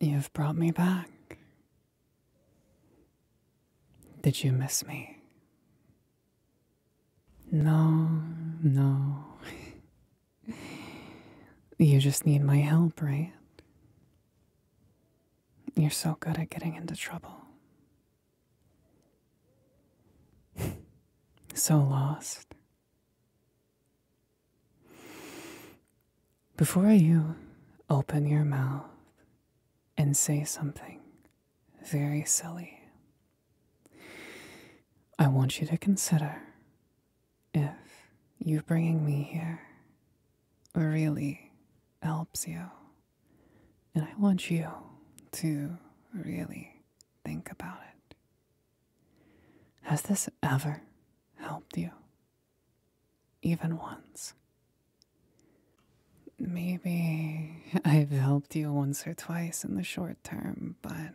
You've brought me back. Did you miss me? No, no. you just need my help, right? You're so good at getting into trouble. so lost. Before you open your mouth and say something very silly, I want you to consider if you bringing me here really helps you. And I want you to really think about it. Has this ever helped you? Even once? Maybe I've helped you once or twice in the short term, but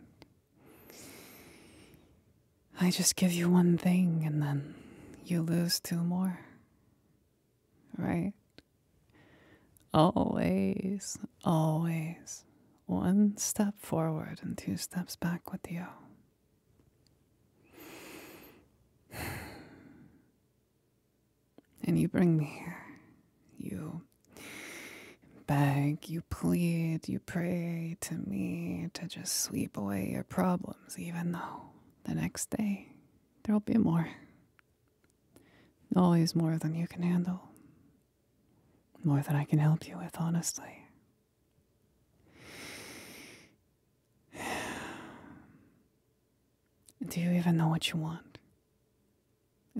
I just give you one thing and then you lose two more. Right? Always, always one step forward and two steps back with you, And you bring me here. You beg, you plead, you pray to me to just sweep away your problems, even though the next day there'll be more. Always more than you can handle. More than I can help you with, honestly. Do you even know what you want?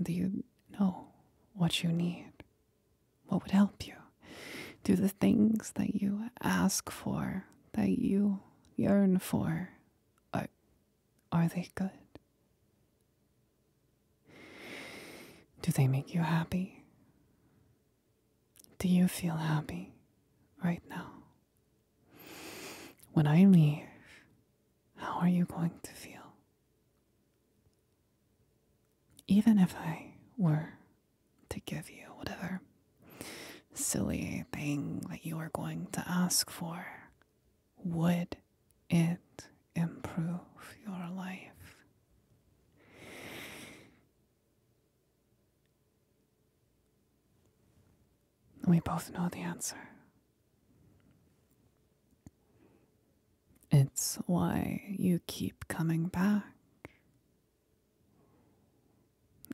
Do you know what you need? What would help you? Do the things that you ask for, that you yearn for, are, they good? Do they make you happy? Do you feel happy right now? When I leave, how are you going to feel? Even if I were to give you whatever silly thing that you are going to ask for, would it improve your life? We both know the answer. It's why you keep coming back.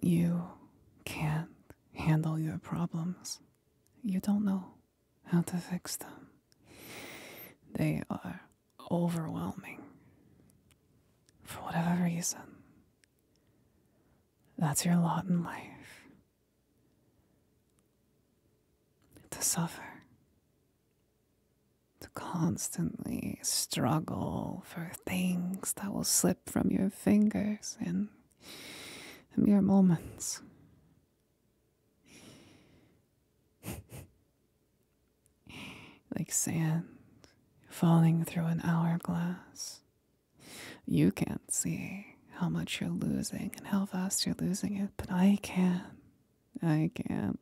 You can't handle your problems. You don't know how to fix them. They are overwhelming. For whatever reason, that's your lot in life. To suffer, to constantly struggle for things that will slip from your fingers in mere moments. like sand falling through an hourglass. You can't see how much you're losing and how fast you're losing it, but I can. I can.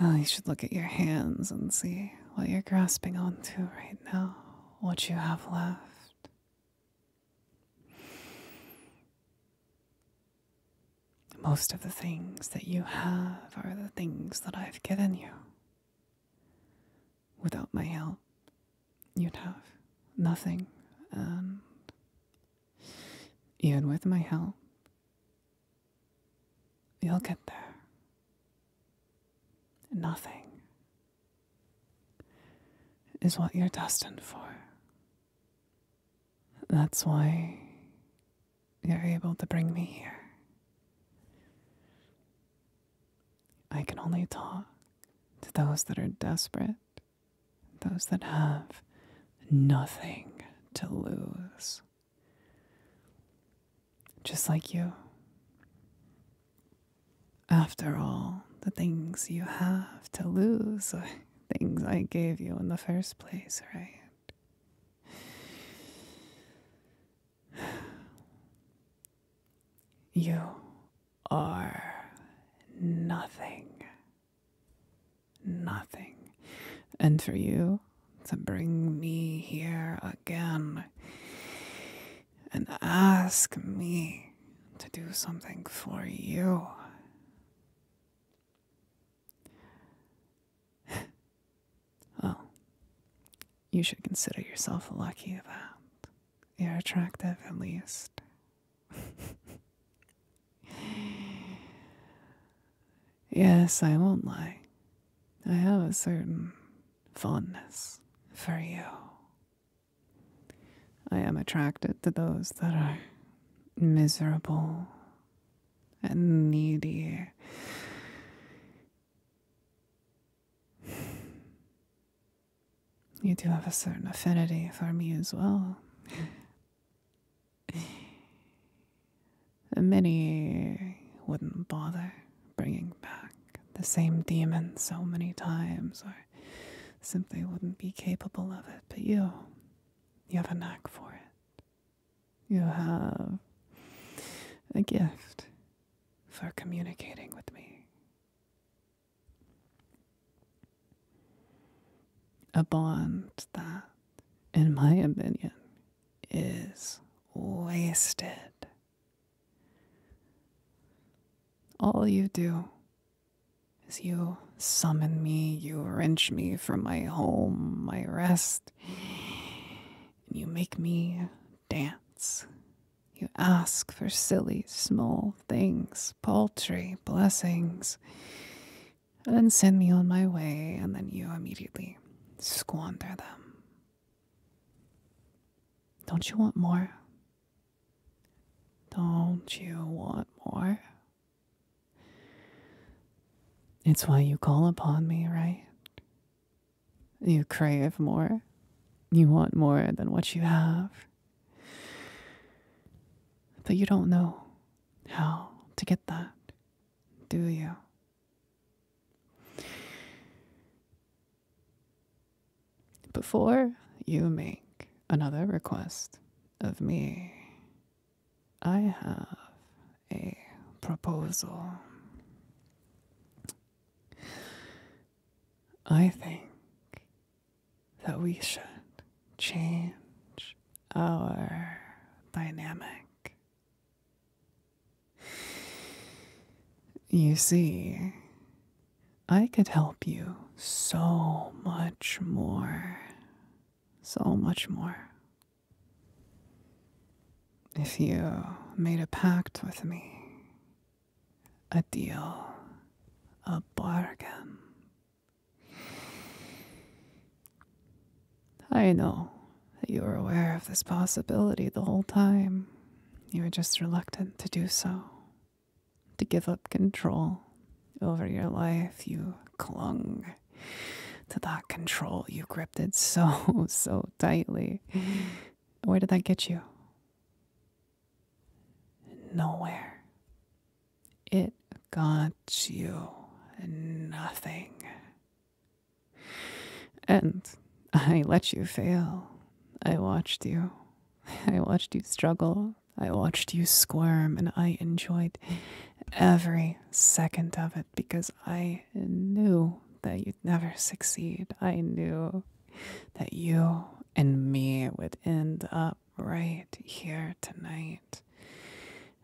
you should look at your hands and see what you're grasping onto right now, what you have left. Most of the things that you have are the things that I've given you. Without my help, you'd have nothing, and even with my help, you'll get there. Nothing is what you're destined for. That's why you're able to bring me here. I can only talk to those that are desperate, those that have nothing to lose. Just like you. After all, the things you have to lose, things I gave you in the first place, right? You are nothing. Nothing. And for you to bring me here again and ask me to do something for you well, you should consider yourself lucky about. you're attractive at least. yes, I won't lie. I have a certain fondness for you. I am attracted to those that are miserable and needy. You do have a certain affinity for me as well. Many wouldn't bother bringing back the same demon so many times simply wouldn't be capable of it. But you, you have a knack for it. You have a gift for communicating with me. A bond that, in my opinion, is wasted. All you do as you summon me, you wrench me from my home, my rest, and you make me dance. You ask for silly, small things, paltry blessings, and send me on my way, and then you immediately squander them. Don't you want more? Don't you want more? It's why you call upon me, right? You crave more. You want more than what you have. But you don't know how to get that, do you? Before you make another request of me, I have a proposal. I think that we should change our dynamic. You see, I could help you so much more. So much more. If you made a pact with me, a deal, a bargain. I know that you were aware of this possibility the whole time. You were just reluctant to do so to give up control over your life. You clung to that control. You gripped it so, so tightly. Where did that get you? Nowhere. It got you nothing. And I let you fail. I watched you I watched you struggle. I watched you squirm, and I enjoyed every second of it because I knew that you'd never succeed. I knew that you and me would end up right here tonight,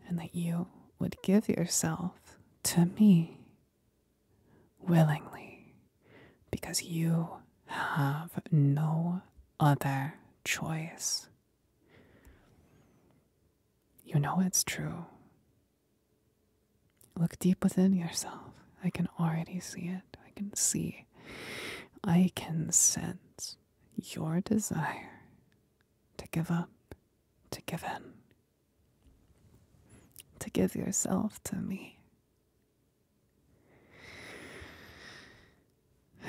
and that you would give yourself to me willingly because you have no other choice. You know it's true. Look deep within yourself. I can already see it. I can see. I can sense your desire to give up, to give in, to give yourself to me,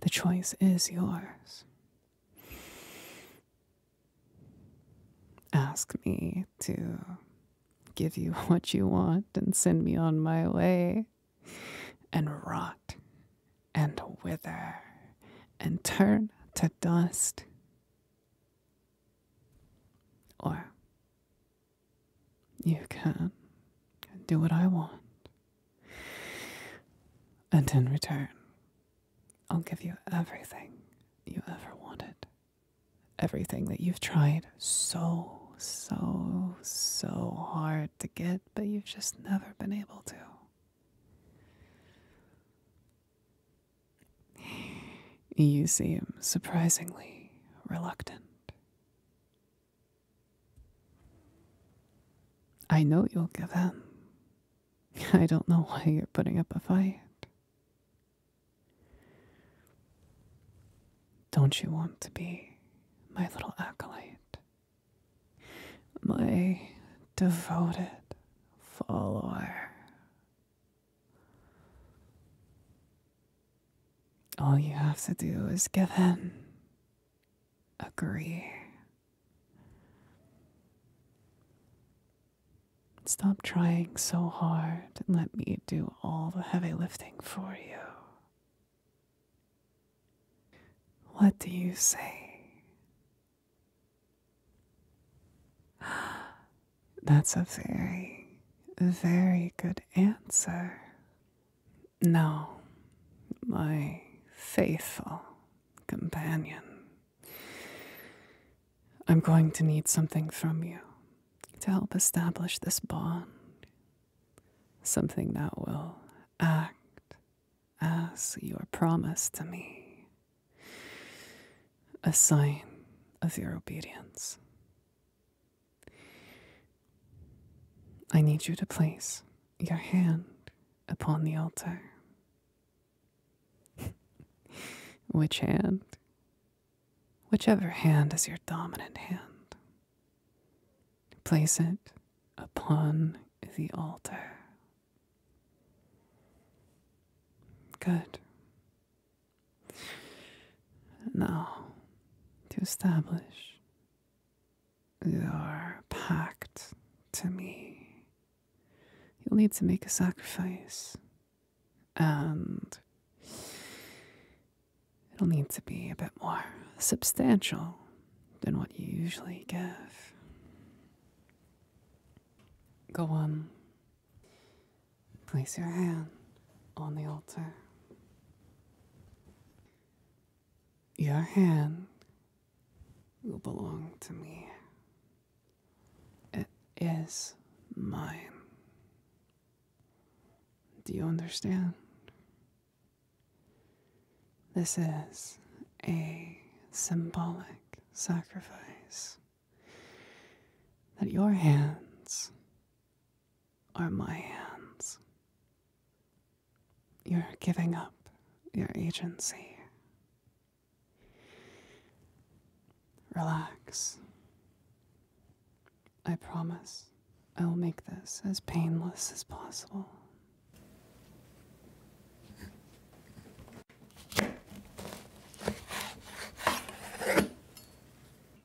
The choice is yours. Ask me to give you what you want and send me on my way and rot and wither and turn to dust. Or you can do what I want. And in return, I'll give you everything you ever wanted. Everything that you've tried so, so, so hard to get, but you've just never been able to. You seem surprisingly reluctant. I know you'll give in. I don't know why you're putting up a fight. Don't you want to be my little acolyte? My devoted follower. All you have to do is give in, agree. Stop trying so hard and let me do all the heavy lifting for you. What do you say? That's a very, very good answer. No, my faithful companion. I'm going to need something from you to help establish this bond. Something that will act as your promise to me a sign of your obedience. I need you to place your hand upon the altar. Which hand? Whichever hand is your dominant hand. Place it upon the altar. Good. Now, to establish your pact to me, you'll need to make a sacrifice, and it'll need to be a bit more substantial than what you usually give. Go on. Place your hand on the altar. Your hand will belong to me. It is mine. Do you understand? This is a symbolic sacrifice that your hands are my hands. You're giving up your agency. Relax. I promise I will make this as painless as possible.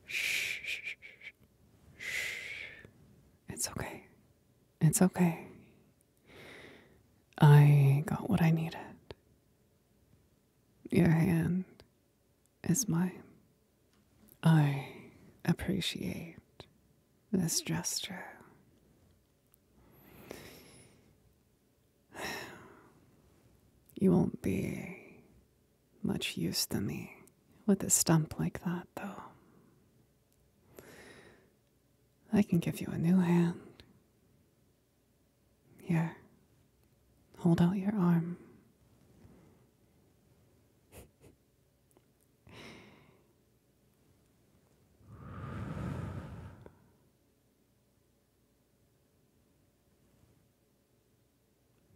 Shh, shh, shh, it's okay. It's okay. I got what I needed. Your hand is mine. I appreciate this gesture. You won't be much use to me with a stump like that, though. I can give you a new hand. Here, hold out your arm.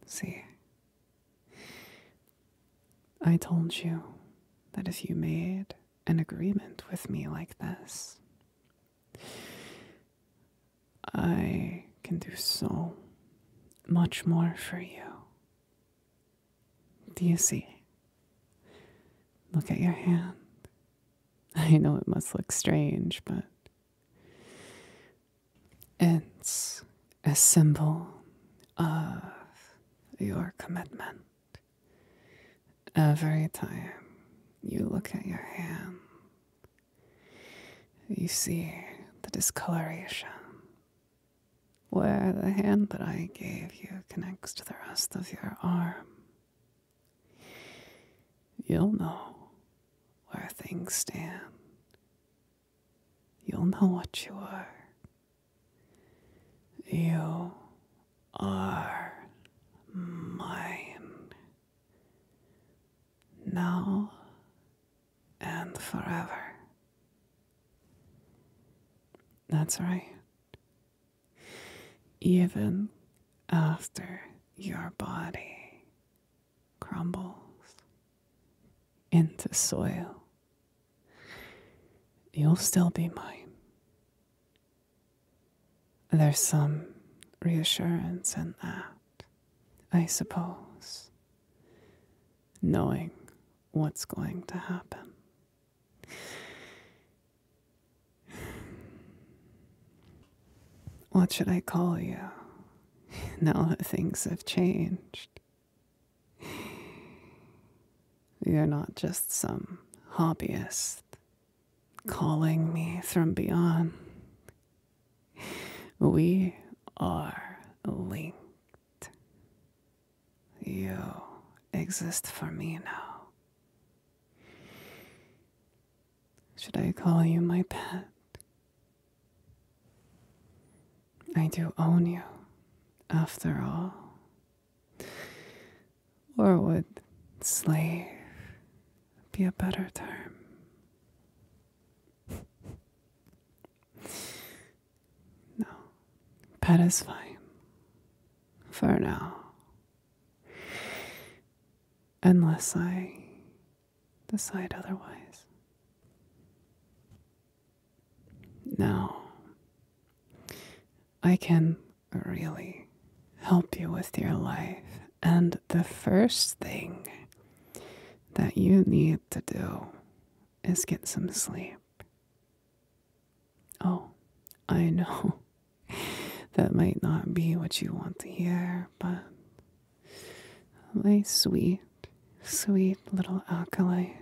See, I told you that if you made an agreement with me like this, I can do so much more for you. Do you see? Look at your hand. I know it must look strange, but it's a symbol of your commitment. Every time you look at your hand, you see the discoloration where the hand that I gave you connects to the rest of your arm. You'll know where things stand. You'll know what you are. You are mine. Now and forever. That's right even after your body crumbles into soil. You'll still be mine. There's some reassurance in that, I suppose, knowing what's going to happen. What should I call you now that things have changed? You're not just some hobbyist calling me from beyond. We are linked. You exist for me now. Should I call you my pet? I do own you, after all. Or would slave be a better term? No, pet is fine. For now unless I decide otherwise. Now, I can really help you with your life, and the first thing that you need to do is get some sleep. Oh, I know. That might not be what you want to hear, but my sweet, sweet little acolyte,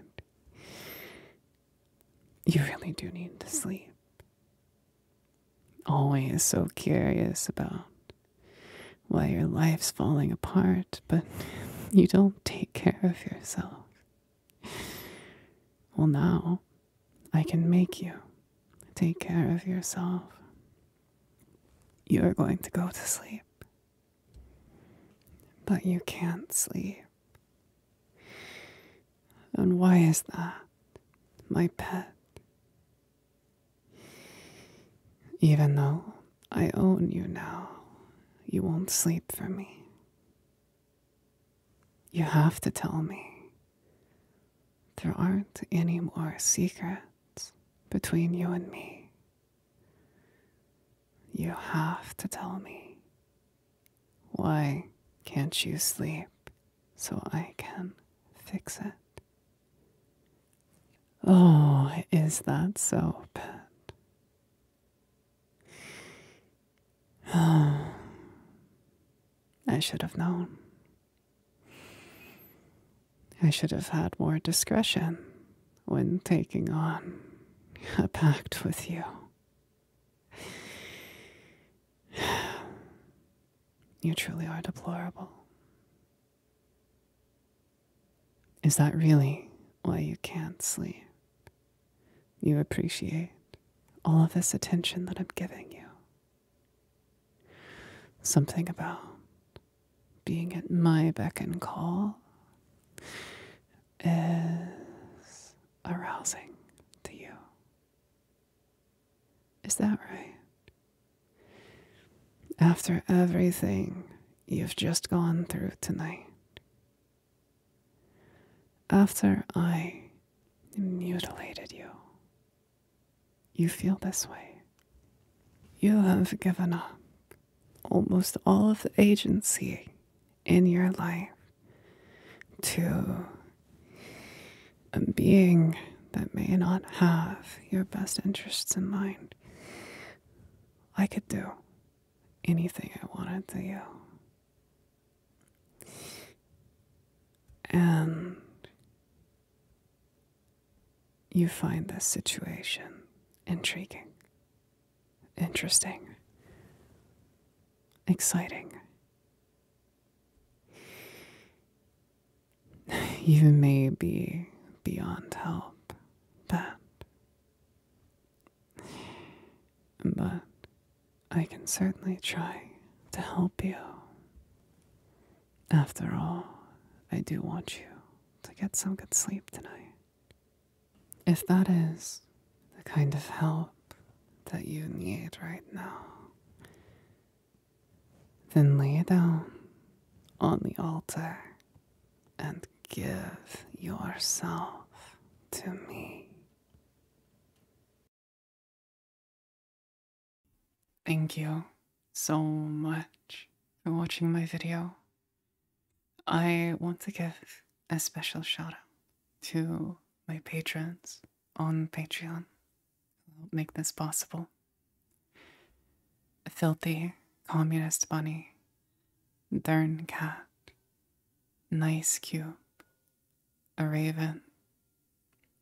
you really do need to sleep. Always so curious about why your life's falling apart, but you don't take care of yourself. Well, now I can make you take care of yourself. You are going to go to sleep. But you can't sleep. And why is that, my pet? Even though I own you now, you won't sleep for me. You have to tell me. There aren't any more secrets between you and me. You have to tell me. Why can't you sleep so I can fix it? Oh, is that so, Pet? I should have known. I should have had more discretion when taking on a pact with you. You truly are deplorable. Is that really why you can't sleep? you appreciate all of this attention that I'm giving you. Something about being at my beck and call is arousing to you. Is that right? After everything you've just gone through tonight, after I mutilated you, you feel this way. You have given up almost all of the agency in your life to a being that may not have your best interests in mind. I could do anything I wanted to you. And you find this situation intriguing, interesting, exciting. You may be beyond help, but but I can certainly try to help you. After all, I do want you to get some good sleep tonight. If that is the kind of help that you need right now, then lay down on the altar and give yourself to me. Thank you so much for watching my video. I want to give a special shout out to my patrons on Patreon who help make this possible. Filthy Communist Bunny, Dern Cat, Nice Cube, a raven,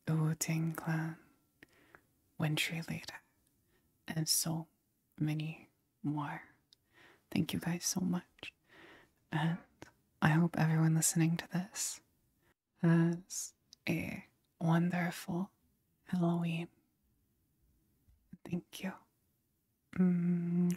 a Wu clan, Wintry Leader, and so many more. Thank you guys so much. And I hope everyone listening to this has a wonderful Halloween. Thank you. Mm.